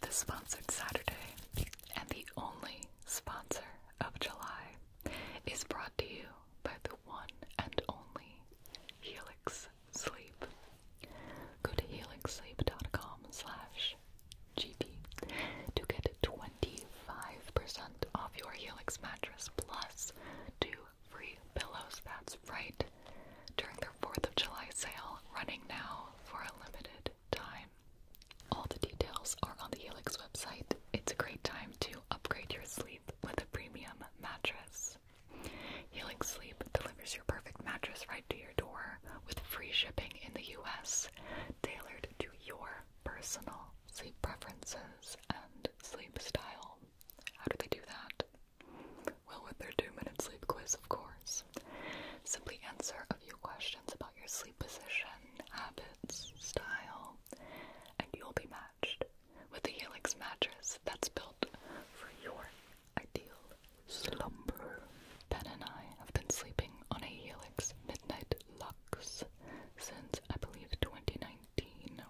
The sponsored Saturday and the only sponsor of July is brought to you by the one and only Helix Sleep. Go to helixsleep.com slash GP to get 25% off your Helix mattress plus two free pillows. That's right, during their 4th of July sale running now for a limited time. All the details are on the Helix website. It's a great time to upgrade your sleep with a premium mattress. Helix Sleep delivers your perfect mattress right to your door with free shipping in the US, tailored to your personal sleep preferences and sleep style. How do they do that? Well, with their two minute sleep quiz, of course. Simply answer a few questions about your sleep position, habits, style, and you'll be matched with a Helix mattress that's built for your ideal slumber. Ben and I have been sleeping on a Helix Midnight Lux since I believe 2019.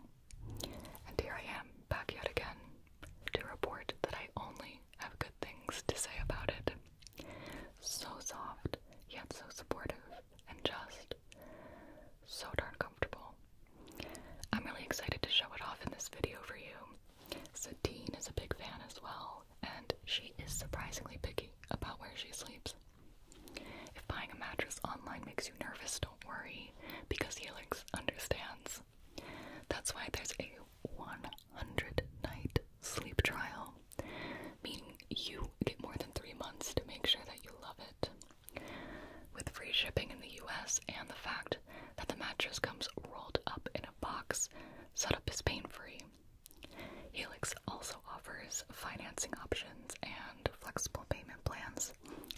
And here I am, back yet again to report that I only have good things to say about it. So soft, yet so supportive, and just so darn comfortable. I'm really excited to show it off in this video for you. Satine is a big fan as well, and she is surprisingly picky about where she sleeps. If buying a mattress online makes you nervous, don't worry, because Helix understands. That's why there's a 100 night sleep trial, meaning you get more than three months to make sure that you love it. With free shipping in the US and the fact that the mattress comes rolled up in a box, setup is pain free. Helix also offers financing options and flexible payment plans,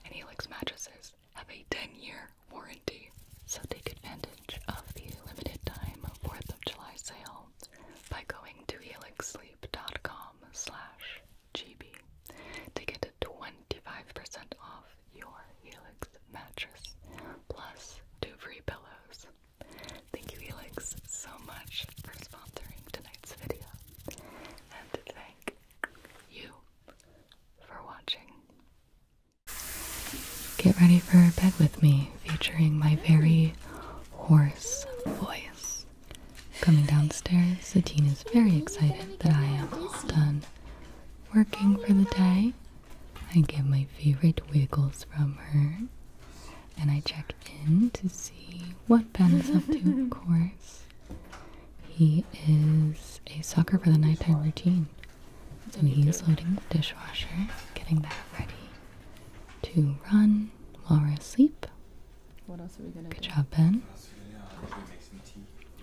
and Helix mattresses have a 10 year warranty. So take advantage of the limited time 4th of July sale by going to helixsleep.com slash gb to get 25% off your Helix mattress plus two free pillows. Thank you Helix so much for sponsoring tonight's video and thank you for watching. Get ready for bed with me, featuring my very hoarse voice. Coming downstairs, Satine is very excited that I am done working for the day. I get my favorite wiggles from her, and I check in to see what Ben is up to, of course. He is a sucker for the nighttime routine. So he's loading the dishwasher, getting that ready to run while we're asleep. What else are we gonna Good do? job, Ben.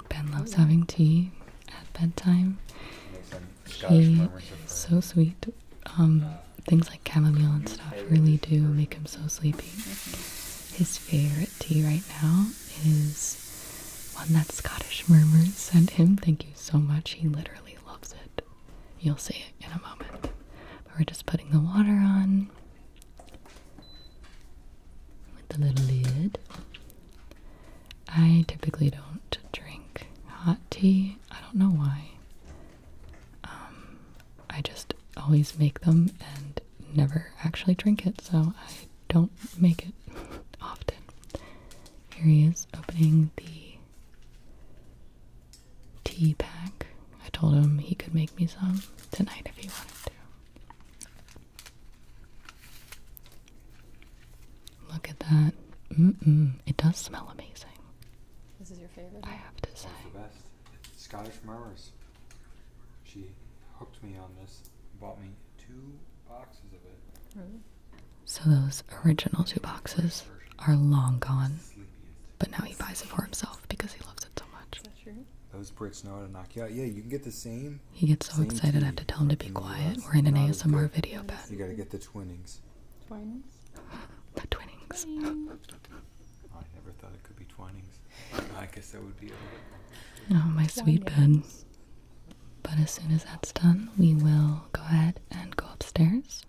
Ben loves having tea at bedtime. He is so sweet. Um, things like chamomile and stuff really do make him so sleepy. His favorite tea right now is one that Scottish Murmurs sent him. Thank you so much. He literally loves it. You'll see it in a moment. we're just putting the water on with the little lid. I typically don't drink hot tea. I don't know why. Um, I just always make them and never actually drink it, so I don't make it often. Here he is opening the tea pack. I told him he could make me some tonight if he wanted to. Look at that. Mm-mm. It does smell amazing. This is your favorite? I have to say. the best. Scottish merris. She hooked me on this. Bought me two uh, boxes of it. So those original two boxes are long gone, but now he buys it for himself because he loves it so much. Those bricks know how to knock you out. Yeah, you can get the same. He gets so excited. I have to tell him to be quiet. We're in an ASMR video, bed. You gotta get the twinnings. Twinings. the twinnings. I never thought it could be twinings. I guess that would be. oh, my sweet Ben. But as soon as that's done, we will go ahead and go upstairs.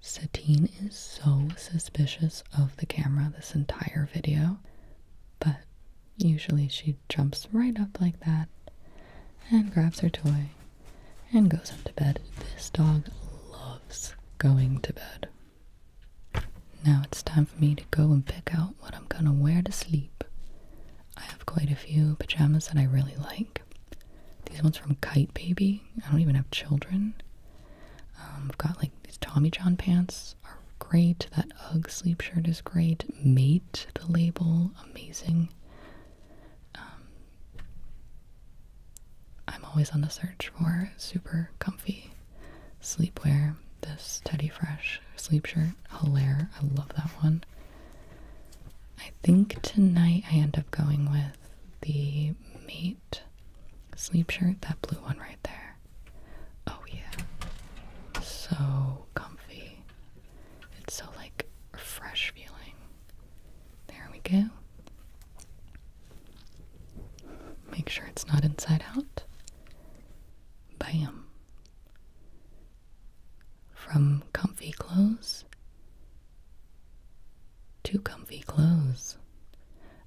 Satine is so suspicious of the camera this entire video, but usually she jumps right up like that and grabs her toy and goes up to bed. This dog loves going to bed. Now it's time for me to go and pick out what I'm gonna wear to sleep. I have quite a few pajamas that I really like. These ones from Kite Baby. I don't even have children. Um, I've got like these Tommy John pants are great. That UGG sleep shirt is great. Mate, the label, amazing. Um, I'm always on the search for super comfy sleepwear. This Teddy Fresh sleep shirt, Hilaire, I love that one. I think tonight I end up going with the mate sleep shirt, that blue one right there. Oh, yeah. So comfy. It's so like fresh feeling. There we go. Make sure it's not inside out. Bam. From comfy clothes to comfy clothes.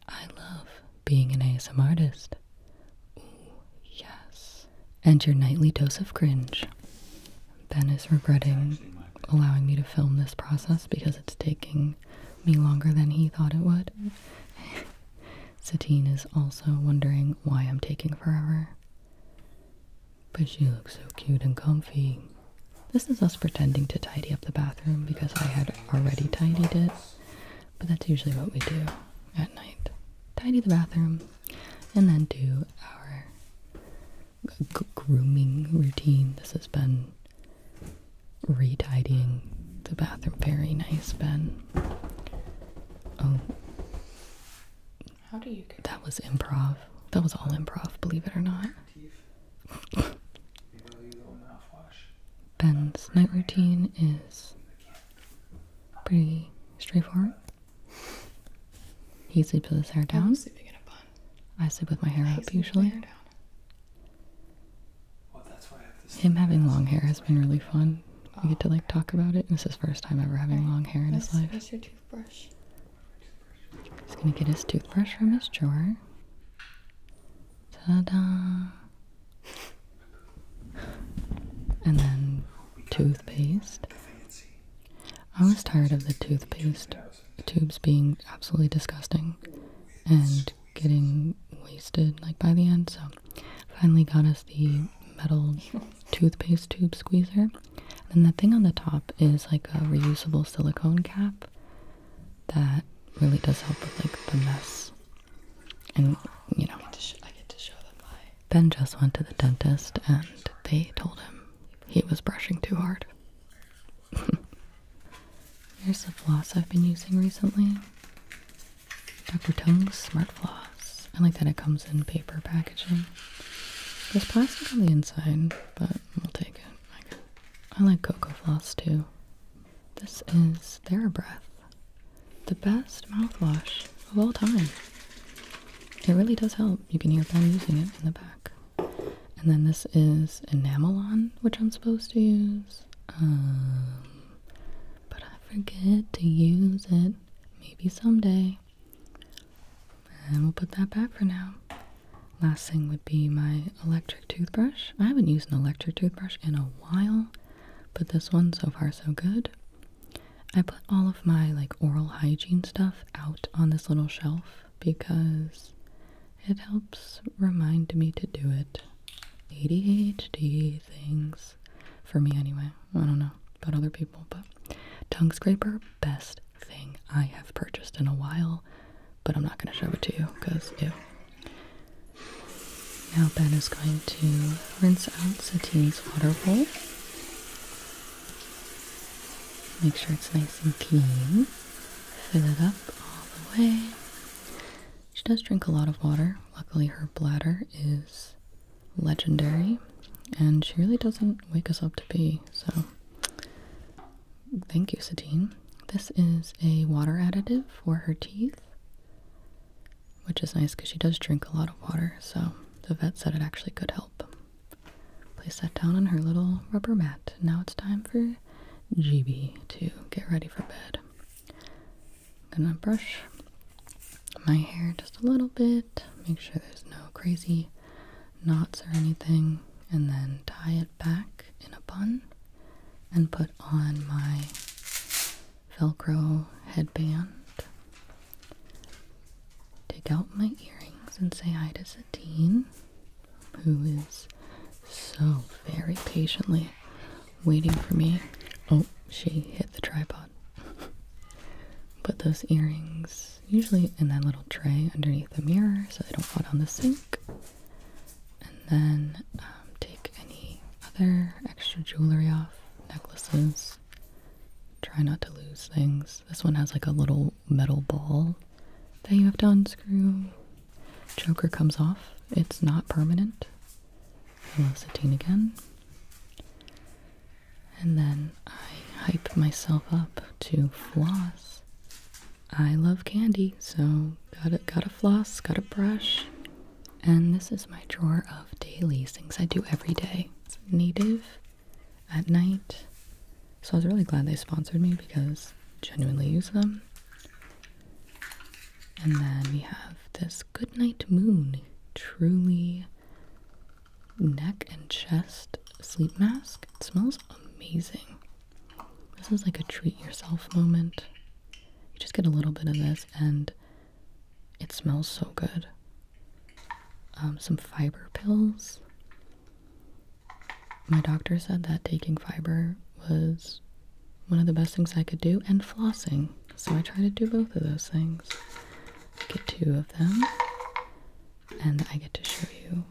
I love being an ASM artist. Ooh, yes. And your nightly dose of cringe. Ben is regretting allowing me to film this process because it's taking me longer than he thought it would. Satine is also wondering why I'm taking forever. But she looks so cute and comfy. This is us pretending to tidy up the bathroom because I had already tidied it. But that's usually what we do at night. Tidy the bathroom and then do our grooming routine. This has been retidying the bathroom. Very nice, Ben. Oh, how do you? That was improv. That was all improv, believe it or not. Ben's night routine is pretty straightforward. He sleeps with his hair down. I sleep with my hair up usually. Hair down. Well, that's why I have Him having long hair has been really fun we get to like oh, talk about it. And this is first time ever having long hair in his life. He's gonna get his toothbrush from his drawer. Ta-da! And then toothpaste. I was tired of the toothpaste tubes being absolutely disgusting and getting wasted like by the end, so Finally got us the metal toothpaste tube squeezer. And then the thing on the top is like a reusable silicone cap that really does help with like the mess. And you know, Ben just went to the dentist and they told him he was brushing too hard. Here's the floss I've been using recently. Dr. Tung's Smart Floss. I like that it comes in paper packaging. There's plastic on the inside, but we'll take it. I, like Cocoa Floss too. This is TheraBreath, the best mouthwash of all time. It really does help. You can hear Ben using it in the back. And then this is Enamelon, which I'm supposed to use. Um, but I forget to use it. Maybe someday. And we'll put that back for now. Last thing would be my electric toothbrush. I haven't used an electric toothbrush in a while, but this one so far so good. I put all of my like oral hygiene stuff out on this little shelf because it helps remind me to do it. ADHD things for me anyway. I don't know about other people, but tongue scraper, best thing I have purchased in a while, but I'm not going to show it to you because ew. Now Ben is going to rinse out Satine's water bowl. Make sure it's nice and clean. Fill it up all the way. She does drink a lot of water. Luckily, her bladder is legendary, and she really doesn't wake us up to be, so thank you, Satine. This is a water additive for her teeth, which is nice because she does drink a lot of water, so the vet said it actually could help. Place that down on her little rubber mat. Now it's time for GB to get ready for bed. I'm gonna brush my hair just a little bit, make sure there's no crazy knots or anything, and then tie it back in a bun and put on my Velcro headband. Take out my earrings and say hi to Satine, who is so very patiently waiting for me. Oh, she hit the tripod. Put those earrings usually in that little tray underneath the mirror so they don't fall down the sink. And then um, take any other extra jewelry off, necklaces. Try not to lose things. This one has like a little metal ball that you have to unscrew. Joker comes off, it's not permanent. Velocitine again. And then I hype myself up to floss. I love candy, so got a got a floss, got a brush. And this is my drawer of dailies, things I do every day. native at night. So I was really glad they sponsored me because genuinely use them. And then we have this good night Moon, truly neck and chest sleep mask. It smells amazing. This is like a treat yourself moment. You just get a little bit of this and it smells so good. Um, some fiber pills. My doctor said that taking fiber was one of the best things I could do, and flossing. So I try to do both of those things. Get two of them, and I get to show you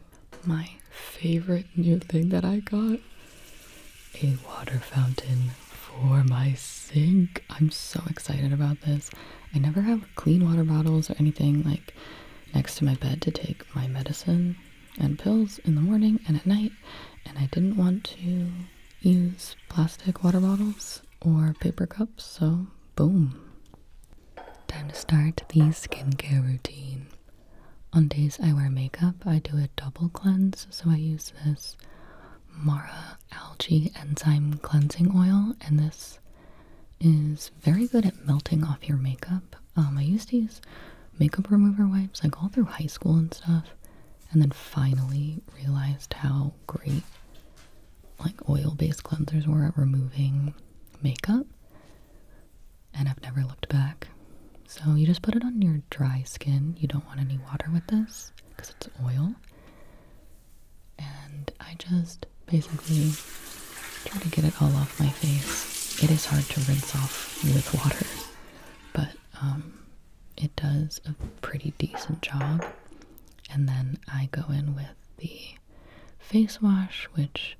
my favorite new thing that I got a water fountain for my sink. I'm so excited about this. I never have clean water bottles or anything like next to my bed to take my medicine and pills in the morning and at night, and I didn't want to use plastic water bottles or paper cups, so boom. Time to start the skincare routine. On days I wear makeup, I do a double cleanse, so I use this Mara Algae Enzyme Cleansing Oil, and this is very good at melting off your makeup. Um, I used to use makeup remover wipes like all through high school and stuff, and then finally realized how great like oil-based cleansers were at removing makeup and I've never looked back. So you just put it on your dry skin. You don't want any water with this because it's oil. And I just basically try to get it all off my face. It is hard to rinse off with water, but um, it does a pretty decent job. And then I go in with the face wash, which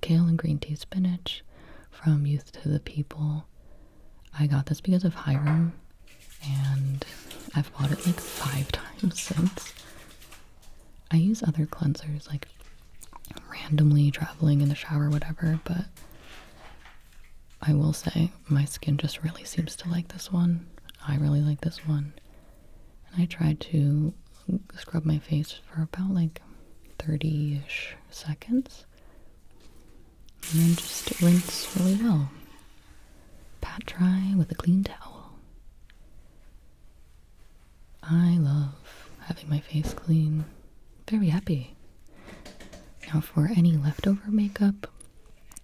kale and green tea spinach from Youth to the People. I got this because of Hiram, and I've bought it like five times since. I use other cleansers like randomly traveling in the shower, whatever, but I will say, my skin just really seems to like this one. I really like this one. And I tried to scrub my face for about like 30 ish seconds. And then just rinse really well. Pat dry with a clean towel. I love having my face clean. Very happy. Now, for any leftover makeup,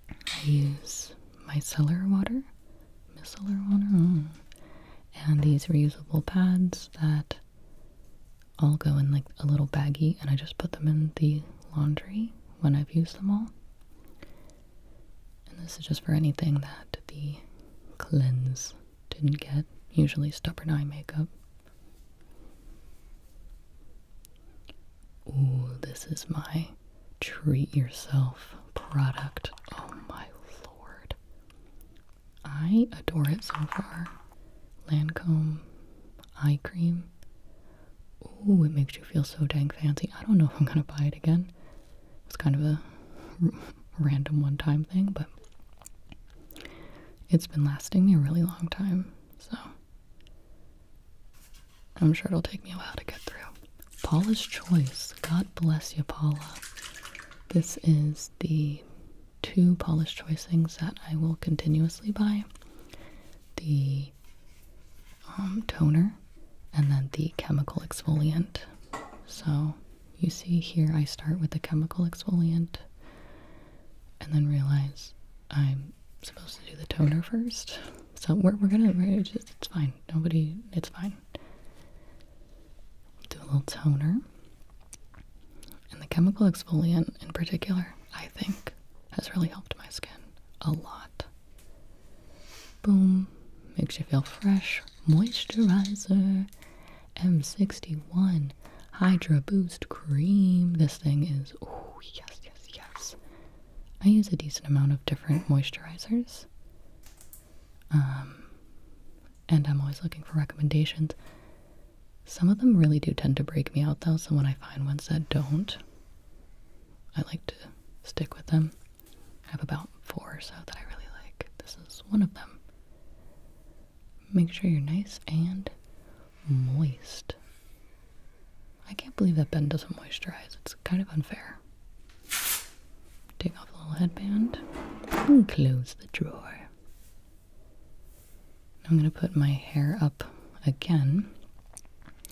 I use micellar water, micellar water, mm, and these reusable pads that all go in like a little baggie, and I just put them in the laundry when I've used them all. And this is just for anything that the cleanse didn't get, usually stubborn eye makeup. Ooh, this is my treat yourself product. Oh my lord. I adore it so far. Lancome eye cream. Ooh, it makes you feel so dang fancy. I don't know if I'm gonna buy it again. It's kind of a random one time thing, but it's been lasting me a really long time. So I'm sure it'll take me a while to get through. Paula's Choice. God bless you, Paula. This is the two Paula's Choice things that I will continuously buy. The um, toner and then the chemical exfoliant. So you see here I start with the chemical exfoliant and then realize I'm supposed to do the toner first. So we're we're gonna we're just it's fine. Nobody it's fine. Do a little toner. And the chemical exfoliant in particular, I think, has really helped my skin a lot. Boom. Makes you feel fresh. Moisturizer. M61 Hydra Boost Cream. This thing is, yes, yes, yes. I use a decent amount of different moisturizers. Um, and I'm always looking for recommendations. Some of them really do tend to break me out though, so when I find ones that don't, I like to stick with them. I have about four or so that I really like. This is one of them. Make sure you're nice and moist. I can't believe that Ben doesn't moisturize. It's kind of unfair. Take off the little headband and close the drawer. I'm going to put my hair up again,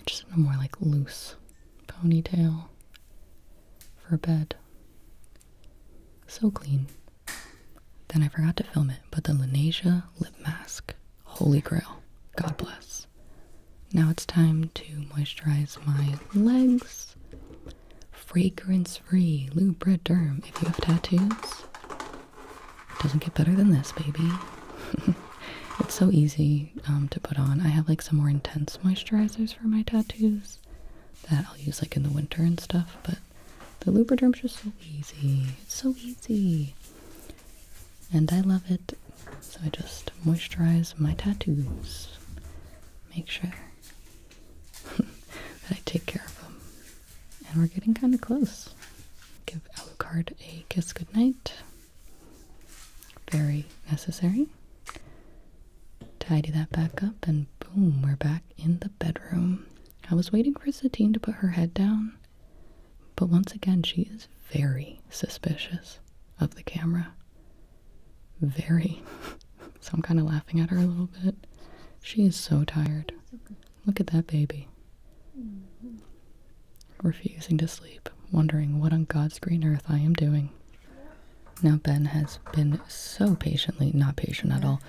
just in a more like loose ponytail for bed. So clean. Then I forgot to film it, but the Lanesia lip mask. Holy grail. God bless. Now it's time to moisturize my legs. Fragrance free Lubriderm. If you have tattoos, it doesn't get better than this, baby. it's so easy um, to put on. I have like some more intense moisturizers for my tattoos that I'll use like in the winter and stuff, but the Lubriderm's just so easy. It's so easy and I love it. So I just moisturize my tattoos, make sure that I take care of them. And we're getting kind of close. Give Alucard a kiss goodnight. Very necessary. Tidy that back up, and boom, we're back in the bedroom. I was waiting for Satine to put her head down but once again, she is very suspicious of the camera. Very. so I'm kind of laughing at her a little bit. She is so tired. Look at that baby. Refusing to sleep, wondering what on God's green earth I am doing. Now, Ben has been so patiently, not patient at all,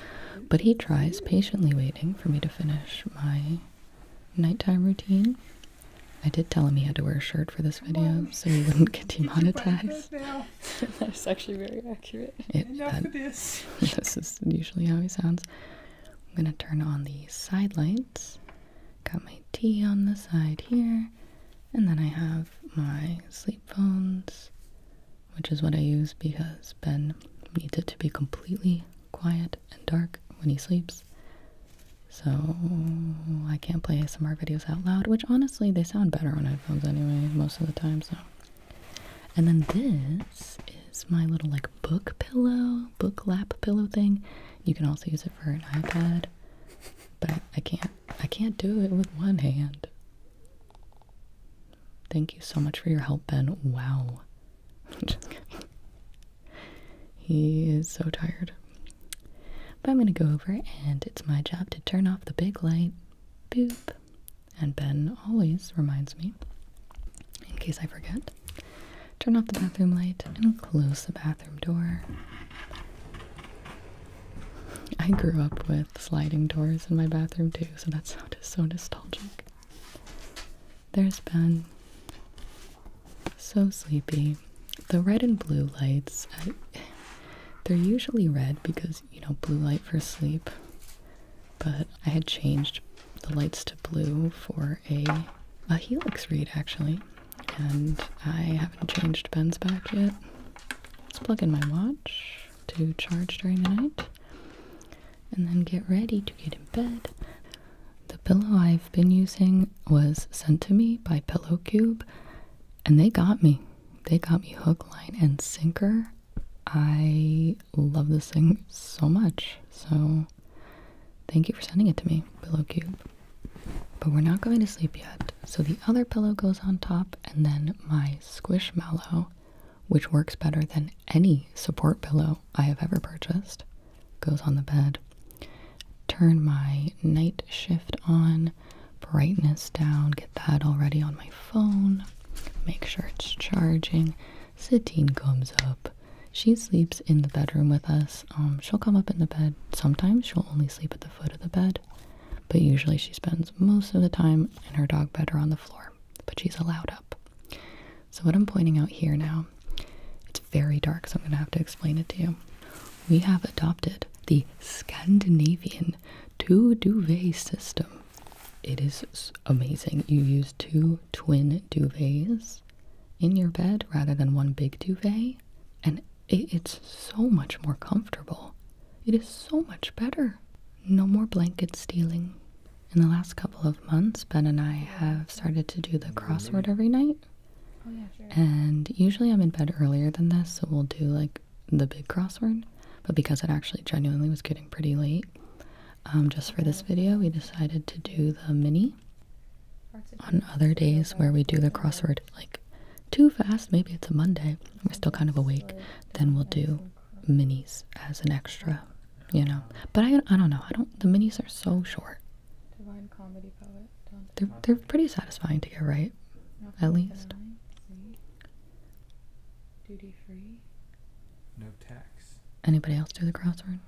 but he tries patiently waiting for me to finish my nighttime routine. I did tell him he had to wear a shirt for this video so he wouldn't get demonetized. That's actually very accurate. Enough of this. this is usually how he sounds. I'm gonna turn on the side lights. Got my tea on the side here, and then I have my sleep phones, which is what I use because Ben needs it to be completely quiet and dark when he sleeps. So I can't play ASMR videos out loud, which honestly they sound better on headphones anyway, most of the time, so. And then this is my little like book pillow, book lap pillow thing. You can also use it for an iPad, but I can't I can't do it with one hand. Thank you so much for your help, Ben. Wow. He is so tired. But I'm gonna go over and it's my job to turn off the big light. Boop. And Ben always reminds me, in case I forget, turn off the bathroom light and close the bathroom door. I grew up with sliding doors in my bathroom too, so that's so nostalgic. There's Ben. So sleepy. The red and blue lights, they're usually red because, you know, blue light for sleep. But I had changed the lights to blue for a, a helix read, actually. And I haven't changed Ben's back yet. Let's plug in my watch to charge during the night and then get ready to get in bed. The pillow I've been using was sent to me by Pillow Cube, and they got me. They got me hook, line, and sinker. I love this thing so much. So, thank you for sending it to me, Pillow Cube. But we're not going to sleep yet. So, the other pillow goes on top, and then my Squishmallow, which works better than any support pillow I have ever purchased. Goes on the bed. Turn my night shift on, brightness down, get that already on my phone. Make sure it's charging. Satine comes up. She sleeps in the bedroom with us. Um, she'll come up in the bed. Sometimes she'll only sleep at the foot of the bed, but usually she spends most of the time in her dog bed or on the floor. But she's allowed up. So, what I'm pointing out here now, it's very dark, so I'm going to have to explain it to you. We have adopted the Scandinavian two duvet system. It is amazing. You use two twin duvets in your bed rather than one big duvet, and it's so much more comfortable. It is so much better. No more blanket stealing in the last couple of months, Ben and I have started to do the crossword every night. Oh, yeah, sure. And usually I'm in bed earlier than this, so we'll do like the big crossword. But because it actually genuinely was getting pretty late, um, just for this video, we decided to do the mini. On other days where we do the crossword like too fast, maybe it's a Monday, we're still kind of awake, then we'll do minis as an extra you know. But I, I don't know. I don't. The minis are so short. Divine comedy poet. They're they're pretty satisfying to get right, at least. Duty free. No tax. Anybody else do the crossword?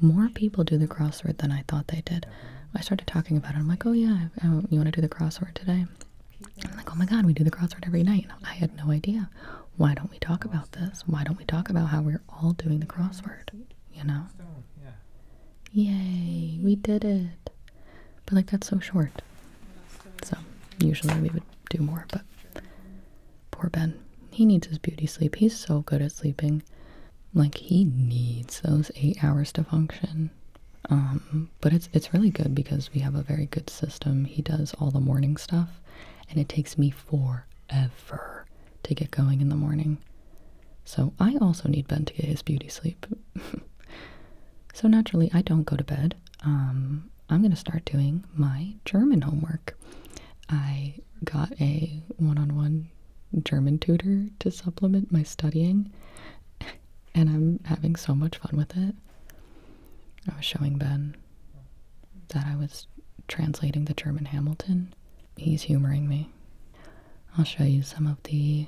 More people do the crossword than I thought they did. I started talking about it. I'm like, oh yeah, you want to do the crossword today? I'm like, oh my god, we do the crossword every night. I had no idea why don't we talk about this? Why don't we talk about how we're all doing the crossword? You know? Yay, we did it. But like that's so short. So usually we would do more, but poor Ben. He needs his beauty sleep. He's so good at sleeping. Like he needs those eight hours to function. Um, but it's it's really good because we have a very good system. He does all the morning stuff and it takes me four Ever to get going in the morning. So I also need Ben to get his beauty sleep. so naturally, I don't go to bed. Um, I'm going to start doing my German homework. I got a one on one German tutor to supplement my studying, and I'm having so much fun with it. I was showing Ben that I was translating the German Hamilton. He's humoring me. I'll show you some of the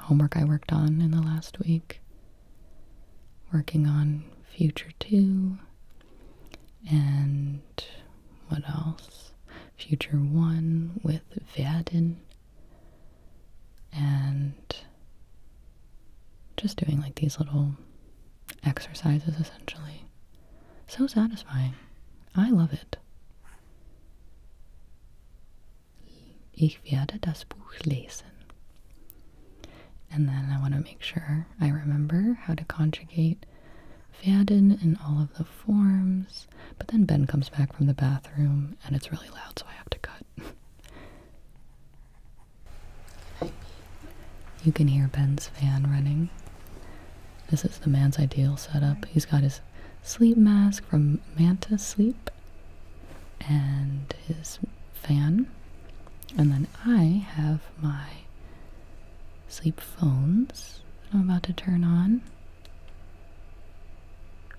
homework I worked on in the last week. Working on Future 2 and what else? Future 1 with Werden and just doing like these little exercises essentially. So satisfying. I love it. Ich werde das Buch lesen. And then I want to make sure I remember how to conjugate werden in all of the forms. But then Ben comes back from the bathroom and it's really loud, so I have to cut. You can hear Ben's fan running. This is the man's ideal setup. He's got his sleep mask from Manta Sleep and his fan. And then I have my sleep phones that I'm about to turn on.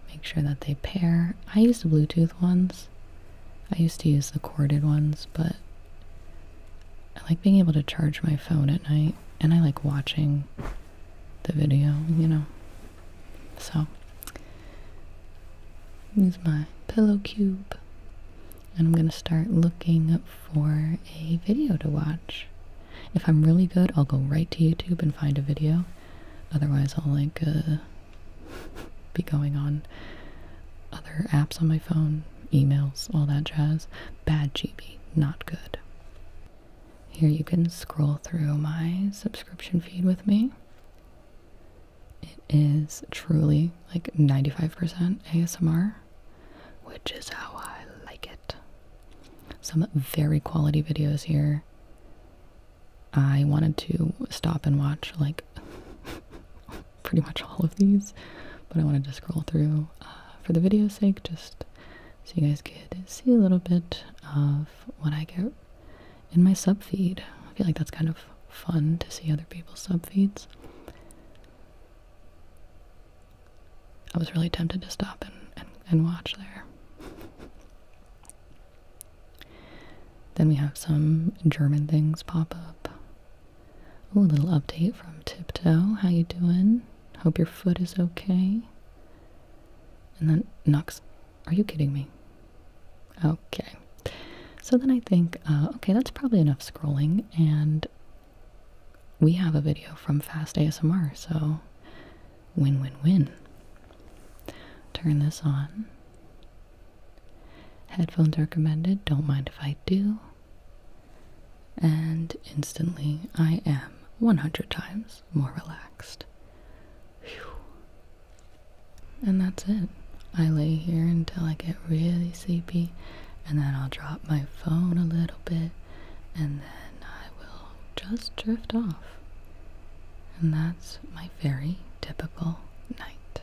Make sure that they pair. I use the Bluetooth ones. I used to use the corded ones, but I like being able to charge my phone at night and I like watching the video, you know. So, use my pillow cube and I'm going to start looking for a video to watch. If I'm really good, I'll go right to YouTube and find a video. Otherwise, I'll like uh, be going on other apps on my phone emails, all that jazz. Bad GB, not good. Here you can scroll through my subscription feed with me. It is truly like 95% ASMR, which is how I like it. Some very quality videos here. I wanted to stop and watch like pretty much all of these, but I wanted to scroll through uh, for the video's sake, just so you guys could see a little bit of what I get in my sub feed. I feel like that's kind of fun to see other people's sub feeds. I was really tempted to stop and, and watch there. then we have some German things pop up. Ooh, a little update from Tiptoe. How you doing? Hope your foot is okay. And then Nux. Are you kidding me? Okay. So then I think, uh, okay, that's probably enough scrolling, and we have a video from Fast ASMR, so win win win. Turn this on. Headphones recommended, don't mind if I do. And instantly, I am 100 times more relaxed. And that's it. I lay here until I get really sleepy, and then I'll drop my phone a little bit, and then I will just drift off. And that's my very typical night.